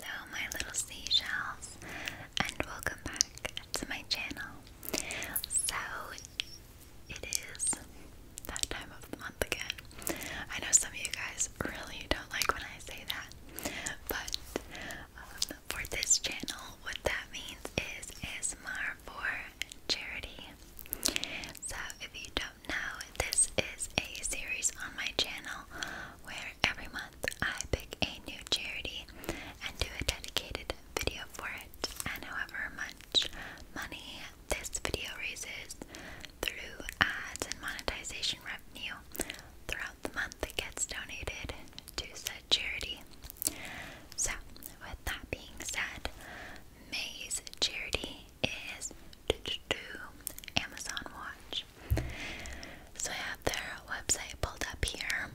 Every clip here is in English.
Hello my little seashells and welcome back to my channel. So it is that time of the month again. I know some of you guys really don't like when I say that, but um, for this channel what that means is ASMR for charity. So if you don't know, this is a series on my channel where every month I pick a new charity and do a dedicated video for it, and however much money this video raises through ads and monetization revenue throughout the month, it gets donated to said charity. So, with that being said, May's charity is to do Amazon Watch. So I have their website pulled up here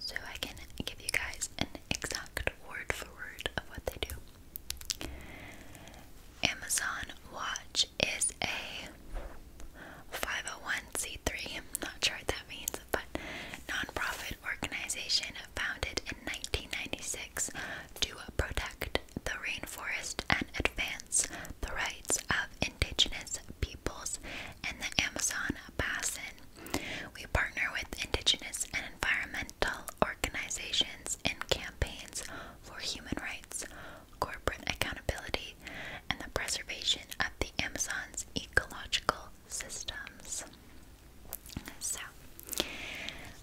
so I can give you guys an exact word for word of what they do. Amazon Watch is a 501c3, not sure what that means, but nonprofit organization founded in 1996 to protect the rainforest and advance the rights of indigenous peoples and the Amazon basin. We partner with indigenous and environmental organizations in campaigns for human rights, corporate accountability, and the preservation of the Amazon's ecological systems. So,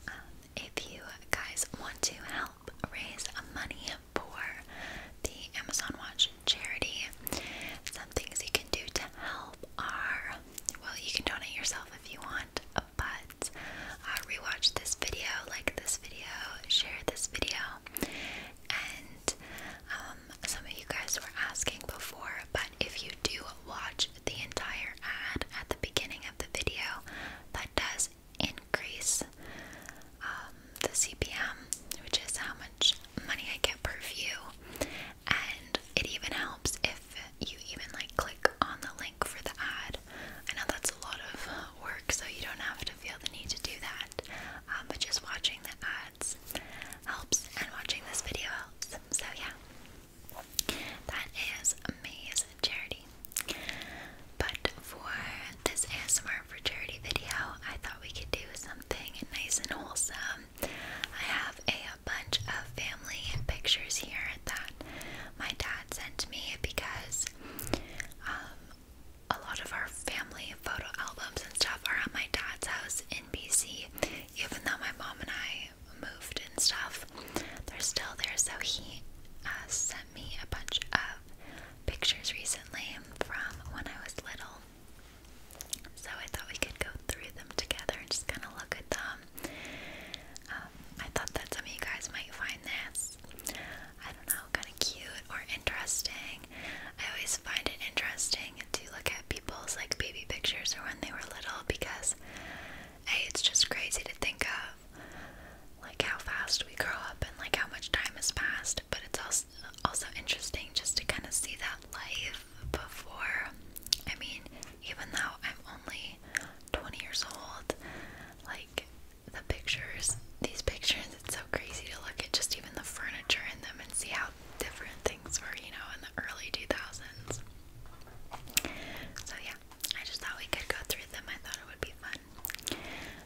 um, if you guys want to help, help raise money for the Amazon Watch charity. Some things you can do to help are well, you can donate yourself if you want, but uh, rewatch this video, like this video, share this video, and um, some of you guys were asking before, but if you do watch the entire ad at the beginning of the video, that does increase um, the CPM, which is how much money I get per view. And it even helps if you even like click on the link for the ad. I know that's a lot of work, so you don't have to feel the need to do that. Um, but just watching the ads helps, and watching this video helps. So yeah, that is amazing charity. But for this ASMR for charity video, I thought we could do something nice and wholesome. I have a bunch of family pictures here that my dad sent me because um, a lot of our family photo albums and stuff are at my dad's house in BC, even though my mom and I moved and stuff. They're still there, so he uh, sent sent me a bunch of pictures recently from when I was little. So I thought we could go through them together and just kind of look at them. Um, I thought that some of you guys might find this, I don't know, kind of cute or interesting. I always find it interesting to look at people's like baby pictures or when they were little because, hey, it's just crazy to think of like how fast we grow up and like how much time has passed, but it's also also interesting just to kind of see that life before. I mean, even though I'm only 20 years old, like the pictures, these pictures, it's so crazy to look at just even the furniture in them and see how different things were, you know, in the early 2000s. So, yeah, I just thought we could go through them. I thought it would be fun.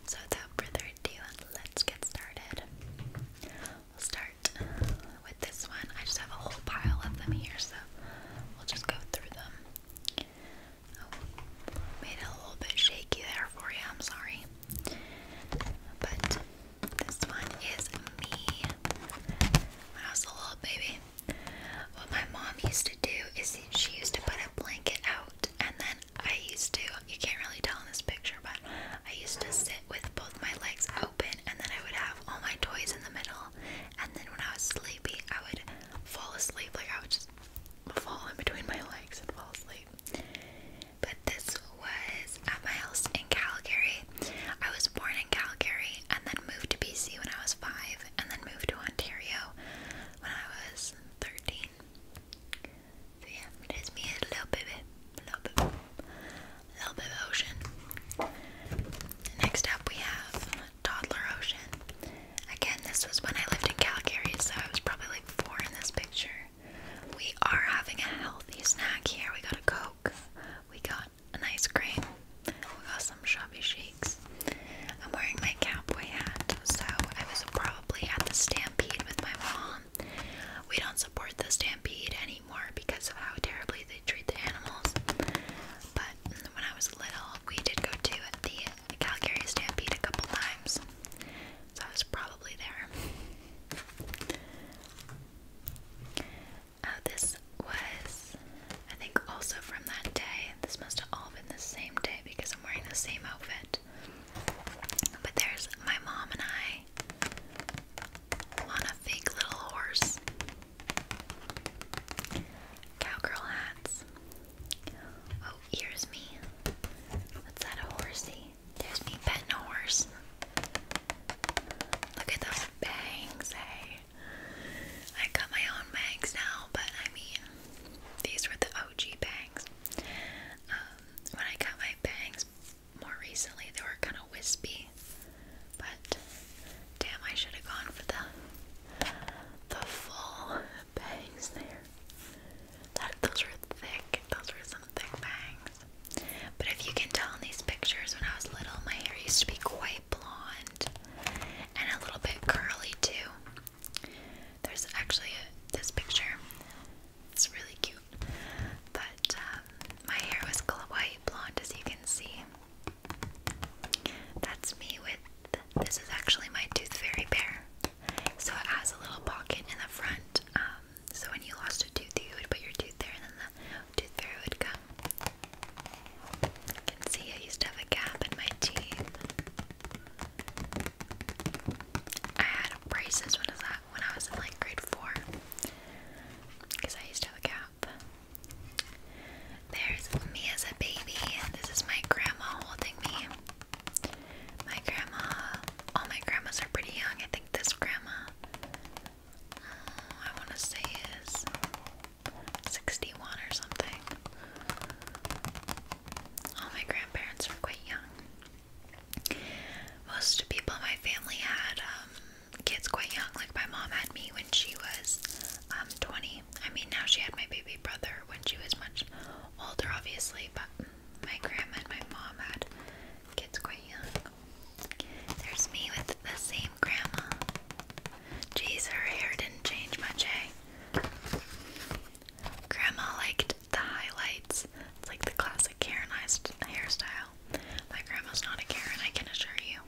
So without further ado, let's get started. We'll start with this one. I just have a whole pile of them here, so we'll just go through them. Oh, made it a little bit shaky there for you, I'm sorry. But this one is me when I was a little baby. What my mom used to do is she used to put a blanket out and then I used to, you can't really tell in this picture, but I used to sit with both my legs open and then I would have all my toys in the middle. And then when I was sleepy, I would fall asleep. Like I would just fall in between my legs and fall asleep. But this was at my house in Calgary. I was born in Calgary and then moved to BC when I was five and then moved to Ontario when I was 13 so yeah, there's me a little bit, a little bit, a little bit of ocean. Next up, we have toddler ocean. Again, this was when I lived in Calgary, so I was probably like four in this picture. We are having a healthy snack here. We got a coke, we got a nice cream, we got some shabby shakes. I'm wearing my cowboy hat, so I was a pro probably at the Stampede with my mom. We don't support the Stampede anymore because of how terribly they treat the animals. But when I was little, we did go to the Calgary Stampede a couple times. So I was probably there. Uh, this was, I think, also from that day. This must have all been the same day because I'm wearing the same outfit. But there's my mom and I on a fake little horse. Cowgirl hats. Oh, here's me. What's that, horsey? There's me petting a horse. Look at those bangs, hey. I got my own bangs now, but I mean, these were the OG bangs. Um, when I got my bangs more recently, they were kind of wispy. But damn, I should have gone for the the full bangs there. those were thick. Those were some thick bangs. But if you can tell in these pictures, when I was little, my hair used to be quite blonde and a little bit curly too. There's actually this picture. It's really cute. But um, my hair was white blonde, as you can see. That's me with this is actually my tooth fairy pair. So it has a little pocket in the front. Um, so when you lost a tooth, you would put your tooth there, and then the tooth fairy would come. You can see I used to have a gap in my teeth. I had braces when was that? When I was in like grade four, because I used to have a cap. There's me as a baby. This is my grandma holding me. My grandma. All my grandmas are pretty young. I think this grandma. Mm, I want to say is 61 or something. All my grandparents were quite young most people in my family had um, kids quite young. Like my mom had me when she was um, 20. I mean, now she had my baby brother when she was much older, obviously, but my grandma and my mom had kids quite young. There's me with the same grandma. Jeez, her hair didn't change much, eh? Grandma liked the highlights. It's like the classic Karenized hairstyle. My grandma's not a Karen, I can assure you.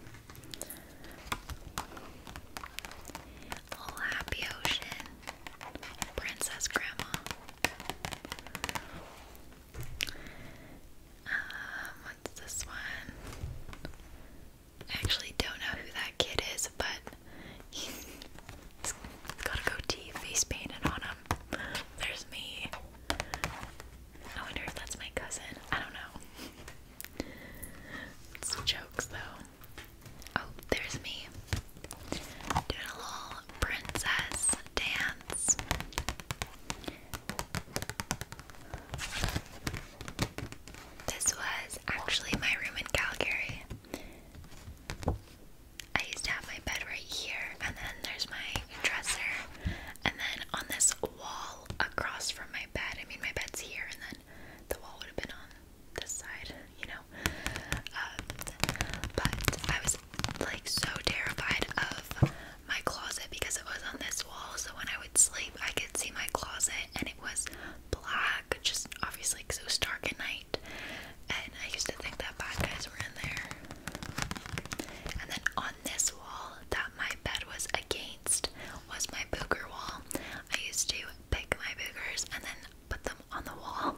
Little Happy Ocean. Princess Grandma. Um, what's this one? I actually don't know who that kid is, but He's got a goatee, face painted on him. There's me. I wonder if that's my cousin. I don't know. jokes though. Oh, there's me. Doing a little princess dance. This was actually my room in Calgary. I used to have my bed right here, and then there's my dresser, and then on this wall across from my bed. I mean, my bed's here, and then the wall would have been on this side, you know. Um, but I was like so terrified of my closet because it was on this wall, so when I would sleep, I could see my closet, and it was black, just obviously because it was dark at night. And I used to think that bad guys were in there. And then on this wall that my bed was against was my booger wall. I used to pick my boogers and then put them on the wall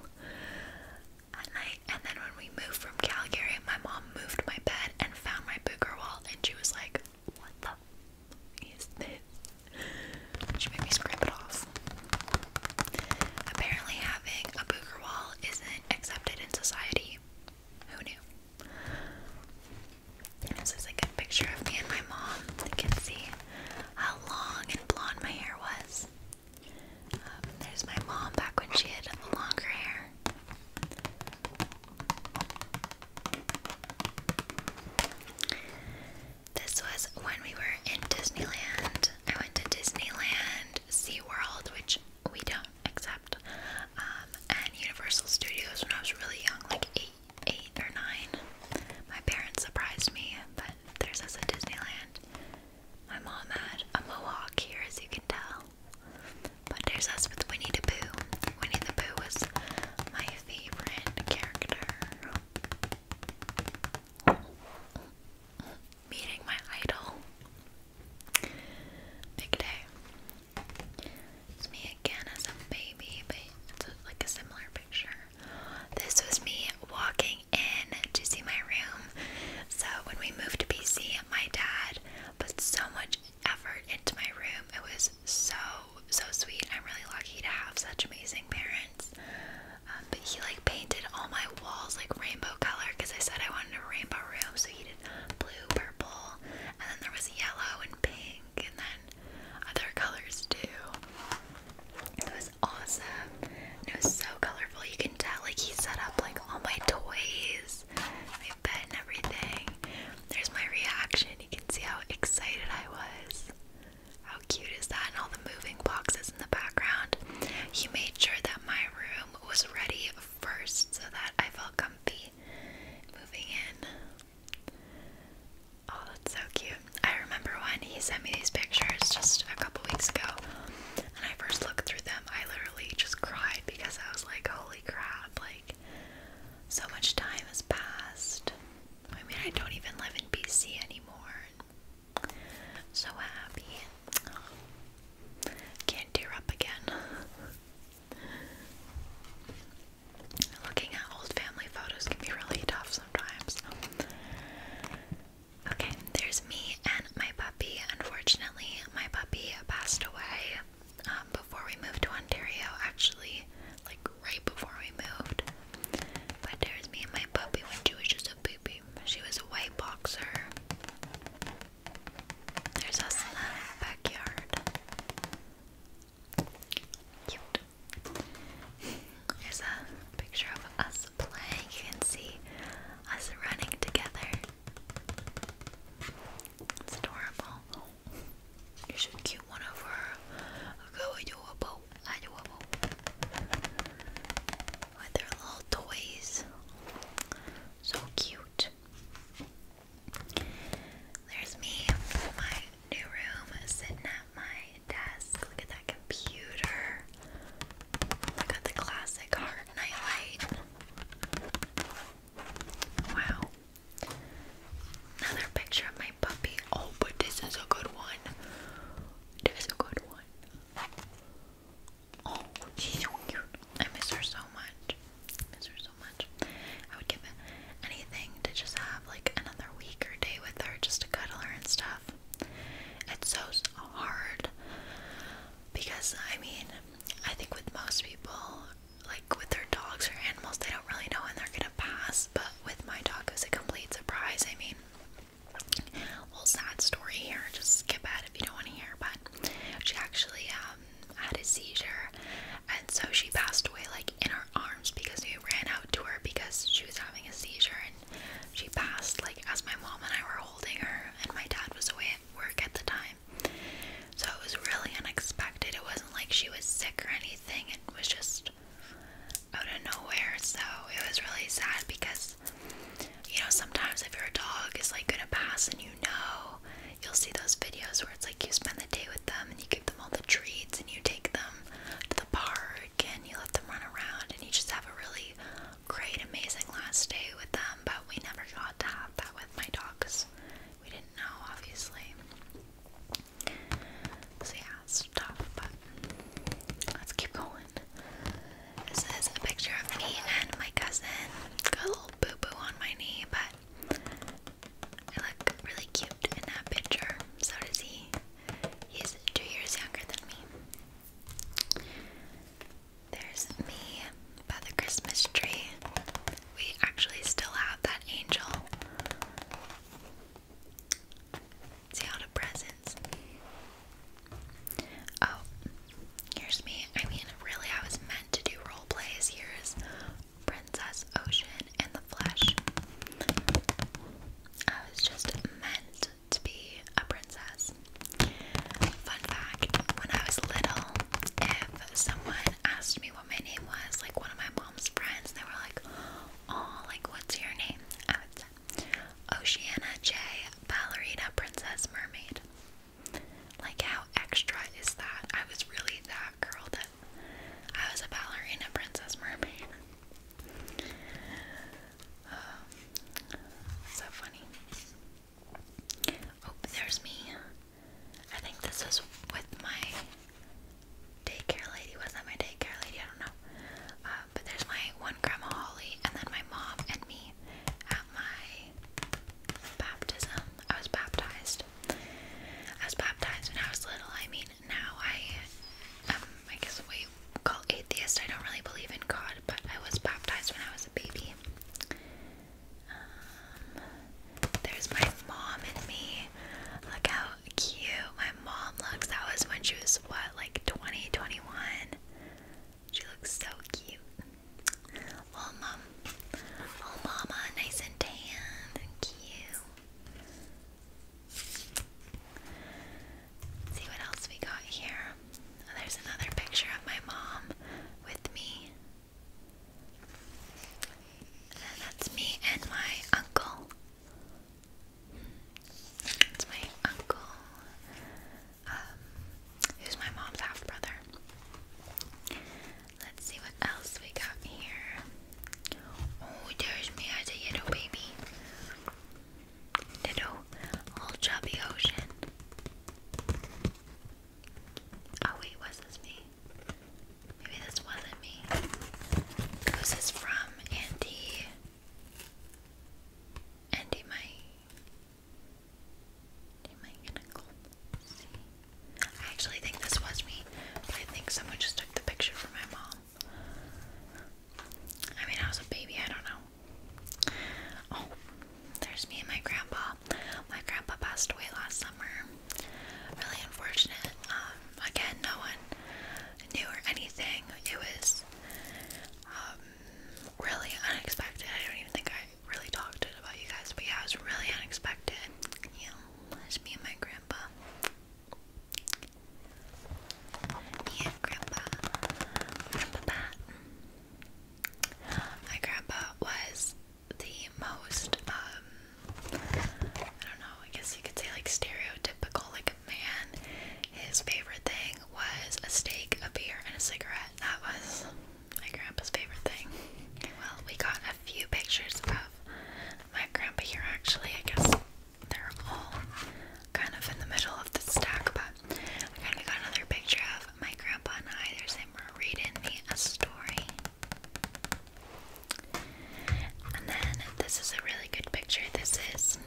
at night. And then when we moved from Calgary, my mom moved my bed and found my booger wall, and she was like, "What the is this?" She made me scrape it off. Apparently, having a booger wall isn't accepted in society. Who knew? This is a good picture of me and my mom. You can see how long and blonde my hair was. Um, there's my mom back when she had longer hair. This was when we were in Disneyland. I went to Disneyland, SeaWorld, which we don't accept, um, and Universal Studios when I was really young, like eight, eight or nine. My parents surprised me, but there's us at Disneyland. My mom had a mohawk here, as you can tell. But there's us with Winnie the Pooh. Winnie the Pooh was my favorite character. Meeting my idol. Big day. It's me again as a baby, but it's like a similar picture. This was me walking in to see my room. So when we moved to BC, my dad put so much effort into my room. It was so so sweet. I'm really lucky to have such amazing parents. Um, but he like painted all my walls like rainbow color because I said I wanted a rainbow room, so he did blue, purple, and then there was yellow and pink, and then other colors too. It was awesome. And it was so colorful. You can tell like he set up like all my toys, my bed, and everything. There's my reaction. You can see how excited I was. How cute is that? And all the moving boxes in the background. He made sure that my room was ready first so that I felt comfy moving in. Oh, that's so cute. I remember when he sent me these pictures just a couple weeks ago, and I first looked through them, I literally just cried because I was like, holy crap, like, so much time has passed. I mean, I don't even live in BC anymore, so happy. Oh, can't tear up again. Looking at old family photos can be really tough sometimes. Okay, there's me and my puppy. Unfortunately, my puppy passed away um, before we moved to Ontario, actually, like right before we moved. But there's me and my puppy when she was just a baby. She was a white boxer. There's us in the backyard. Cute. There's a picture of us playing. You can see us running together. It's adorable. You cute one over. Go adorable, adorable with their little toys. So cute. There's me in my new room sitting at my desk. Look at that computer. I got the classic hard nightlight. Wow. Another picture of my puppy. Oh, but this is a good one. This is a good one. Oh, I miss her so much. I miss her so much. I would give it anything to just have like another week or day with her just to cuddle her and stuff. It's so hard because I mean, I think with most people, like with their dogs or animals, they don't really know when they're gonna pass. But with my dog, it was a complete surprise. I mean, well, sad story here. Just skip ahead if you don't want to hear. But she actually um, had a seizure, and so she passed away like in her arms because we ran out to her because she was having a seizure, and she passed like as my mom and I were holding her, and my dad was away at work at the time. So it was really unexpected. It wasn't like she was sick or anything. It was just out of nowhere. So it was really sad because, you know, sometimes if your dog is like gonna pass and you know, you'll see those videos where it's like you spend the day with them and you give them all the treats and you take them to the park and you let them run around and you just have a really great, amazing last day with them. But we never got to have that with my dog because we didn't know, obviously. So yeah, it's tough, but let's keep going. This is a picture of me and my cousin. Got a little boo boo on my knee, but I look really cute in that picture. So does he. He's two years younger than me. There's me by the Christmas tree. We actually still have that angel. See all the presents. Oh, here's me. I mean, really, I was meant to do role plays. Here's Princess Ocean and the Flesh. I was just meant to be a princess. Fun fact when I was little, if someone asked me what my name was, like one of my mom's friends, they were like, Oh, like, what's your name? I would say, Oceana J, Ballerina Princess Mermaid. Like, how extra is that? I was really that girl that I was a ballerina princess mermaid. Um, so funny. Oh, there's me. I think this was with my daycare lady. Was that my daycare lady? I don't know. Uh, but there's my one grandma Holly and then my mom and me at my baptism. I was baptized. I was baptized when I was little. I mean, now I am, um, I guess, what call atheist. I don't really believe in God, but I was baptized when I was a baby. Um, there's my mom and me. Look how cute mom looks. That was when she was, what, like 20, 21? She looks so cute. Well, mom. Oh, mama, nice and tan and cute. See what else we got here. Oh, there's another picture of my mom with me. And that's me and my uncle. It's my uncle, um, who's my mom's half brother. Let's see what else we got here. Oh, there's me as a little baby. Little, little chubby ocean. Oh, wait, was this me? Maybe this wasn't me. Who's this from? Auntie and am I am I gonna go I actually think this was me, but I think someone just took the picture for my mom. I mean I was a baby, I don't know. Oh, there's me and my grandpa. My grandpa passed away last summer. Really unfortunate. Um, again, no one knew or anything. It was um, really unexpected. I don't even think I really talked about you guys, but yeah, it was really unexpected. Yeah, it's me and my grandpa. Yeah, grandpa. Grandpa My grandpa was the most, um, I don't know, I guess you could say like stereotypical, like man. His favorite thing was a steak, a beer, and a cigarette. That was my grandpa's favorite thing. Well, we got a few pictures of my grandpa here actually. I guess they're all kind of in the middle of the stack, but I kind of got another picture of my grandpa and I. There's him reading me a story. And then this is a really good picture. This is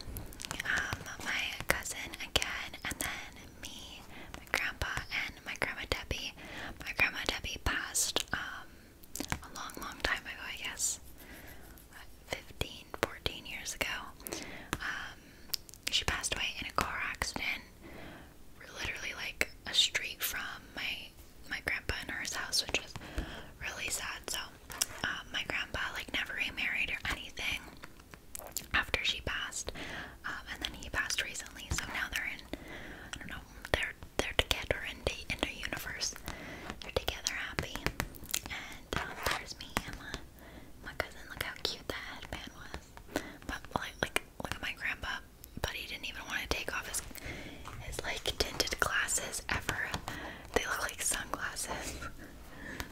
um, my cousin again, and then me, my grandpa, and my grandma Debbie. My grandma Debbie passed um, a long, long time ago, I guess. 15, years ago. Um, she passed away in a car accident, literally like a street from my my grandpa and her house, which was really sad. So um, my grandpa like never remarried or anything after she passed, um, and then he passed recently. So now they're in, I don't know, they're they're together in the in the universe. They're together, happy. And um, there's me and my my cousin. Look how cute that headband was. But like, like look at my grandpa. But he didn't even want to take off his his like tinted glasses ever. They look like sunglasses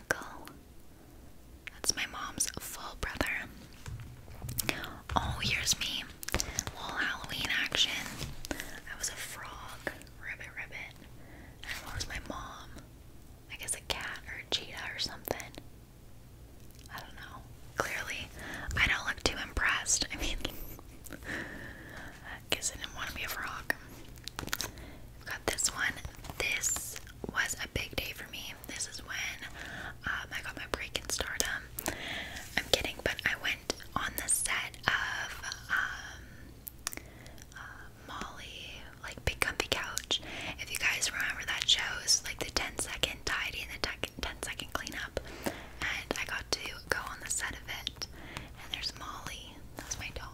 uncle. That's my mom's full brother. Oh, here's me. Little Halloween action. I was a frog. Ribbit, ribbit. And was my mom? I guess a cat or a cheetah or something. I don't know. Clearly, I don't look too impressed. I mean, because I didn't want to be a frog. I've got this one. This was a big day for me. This is when um, I got my break in stardom. I'm kidding, but I went on the set of um, uh, Molly, like Big Comfy Couch. If you guys remember that show, it's like the 10 second tidy and the 10 second clean up. And I got to go on the set of it. And there's Molly. That's my doll.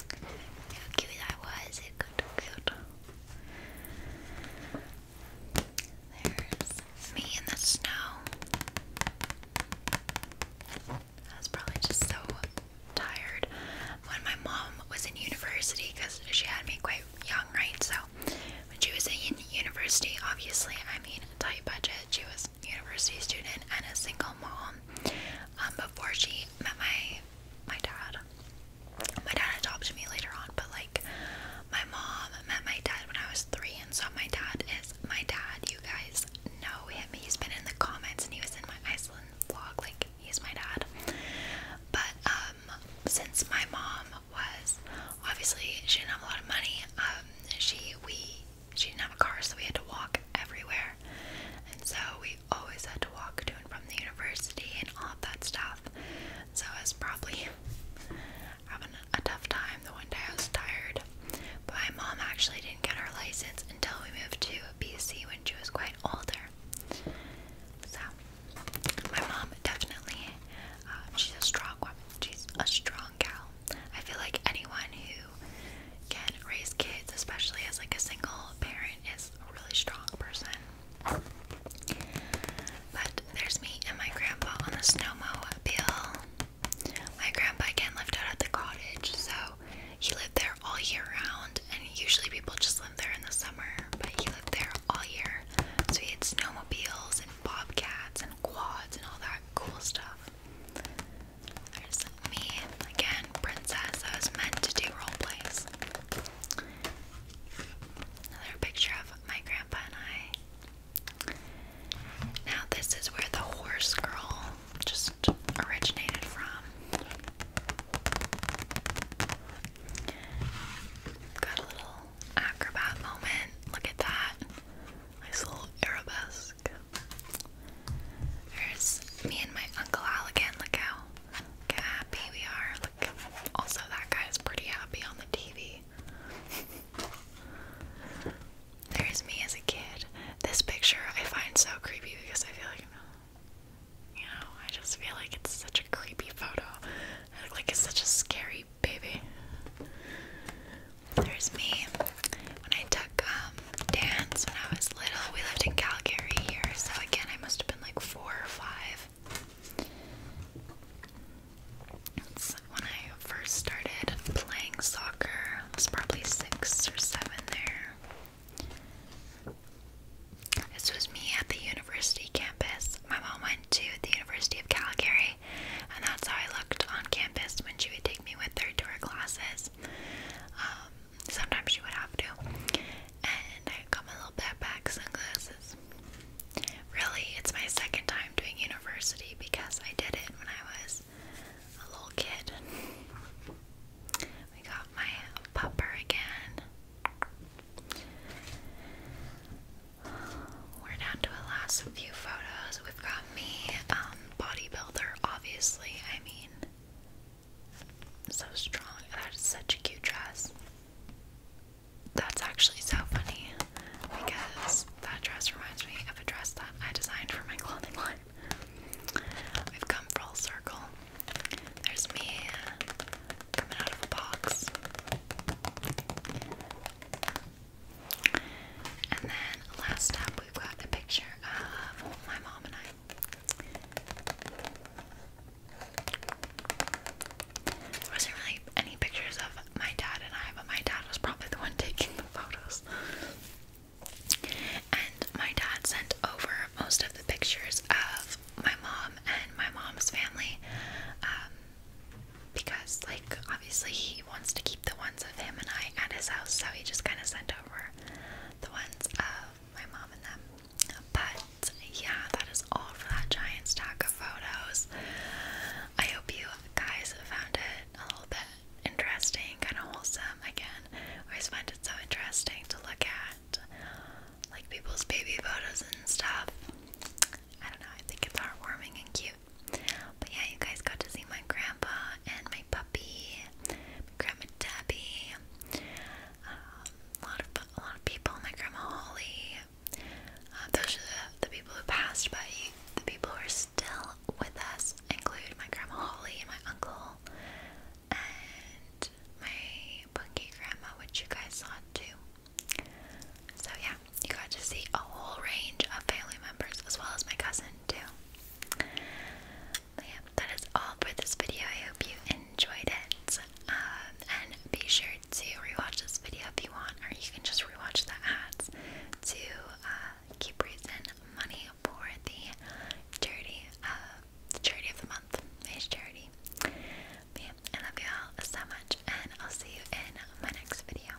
How cute that was, it got cute. There's me in the snow. I was probably just so tired when my mom was in university because she had me quite young, right? So when she was in university, obviously, I mean, tight budget. She was a university student and a single mom. Um, before she met my my dad. My dad adopted me later on, but like my mom met my dad when I was three, and so my dad is my dad. You guys know him. He's been in the comments, and he was in my Iceland vlog. Like he's my dad. But um, since my mom was obviously she didn't have a lot of money, um, she we she didn't have a car, so we had to walk everywhere. And so we always had to walk to and from the university and all that stuff. So I was probably having a tough time. The one day I was tired. But my mom actually didn't get her license until we moved to BC when she was quite older. So my mom definitely, uh, she's a strong woman. She's a strong gal. I feel like anyone who can raise kids, especially as like a single parent is a really strong person. But there's me and my grandpa on the snowmobile. My grandpa again lived out at the cottage, so he lived there all year round, and usually people just live there in the summer, but he lived there all year. So he had snowmobiles and bobcats and quads and all that cool stuff. There's me, again, princess. I was meant to do role plays. Another picture of my grandpa and I. Now, this is where the horse girl just originated from. Got a little acrobat moment. Look at that. Nice little arabesque. There's me and my Uncle Al again. Look how, happy we are. Look, also, that guy is pretty happy on the TV. There's me as a kid. This picture I find so creepy because I feel like, you know, I just feel like it's such a creepy photo. I look like it's such a scary baby. There's me when I took um, dance when I was little. We lived in Calgary here, so again, I must have been like four or five. when I first started playing soccer. I was probably six or seven there. This was me at the university campus. My mom went to the University of Calgary, and that's how I looked on campus when she would take me with her to her classes. Um, sometimes you would have to. And I got my little backpack sunglasses. Really, it's my second time doing university because I did it when I was a little kid. We got my pupper again. We're down to the last few photos. We've got me, um, bodybuilder, obviously. I mean, so strong. That is such a cute dress. That's actually so funny because that dress reminds me of a dress that I designed for my clothing line. We've come full circle. There's me coming out of a box. And then last up, we've got a picture of my mom and I. There wasn't really any pictures of my dad and I, but my dad was probably the one taking the photos. And my dad sent over most of the pictures of my mom and my mom's family. Um, because, like, obviously, he wants to keep the ones of him and I at his house, so he just kind of sent over the ones of my mom and them. But yeah, that is all for that giant stack of photos. I hope you guys found it a little bit interesting, kind of wholesome. Again, I always find it so interesting to look at, like people's baby photos and stuff. I don't know, I think it's heartwarming and cute. But yeah, you guys got to see my grandpa and my puppy, grandma Debbie, um, a lot of a lot of people, my grandma Holly. Uh, those are the, the people who passed, but the people who are still with us include my grandma Holly and my uncle and my punky grandma, which you guys saw too. So yeah, you got to see a whole range of family members as well as my cousin too yeah, that is all for this video. I hope you enjoyed it. Um, and be sure to rewatch this video if you want, or you can just rewatch the ads to uh, keep raising money for the charity, uh, charity of the month, May's charity. yeah, I love you all so much, and I'll see you in my next video.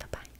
Bye bye.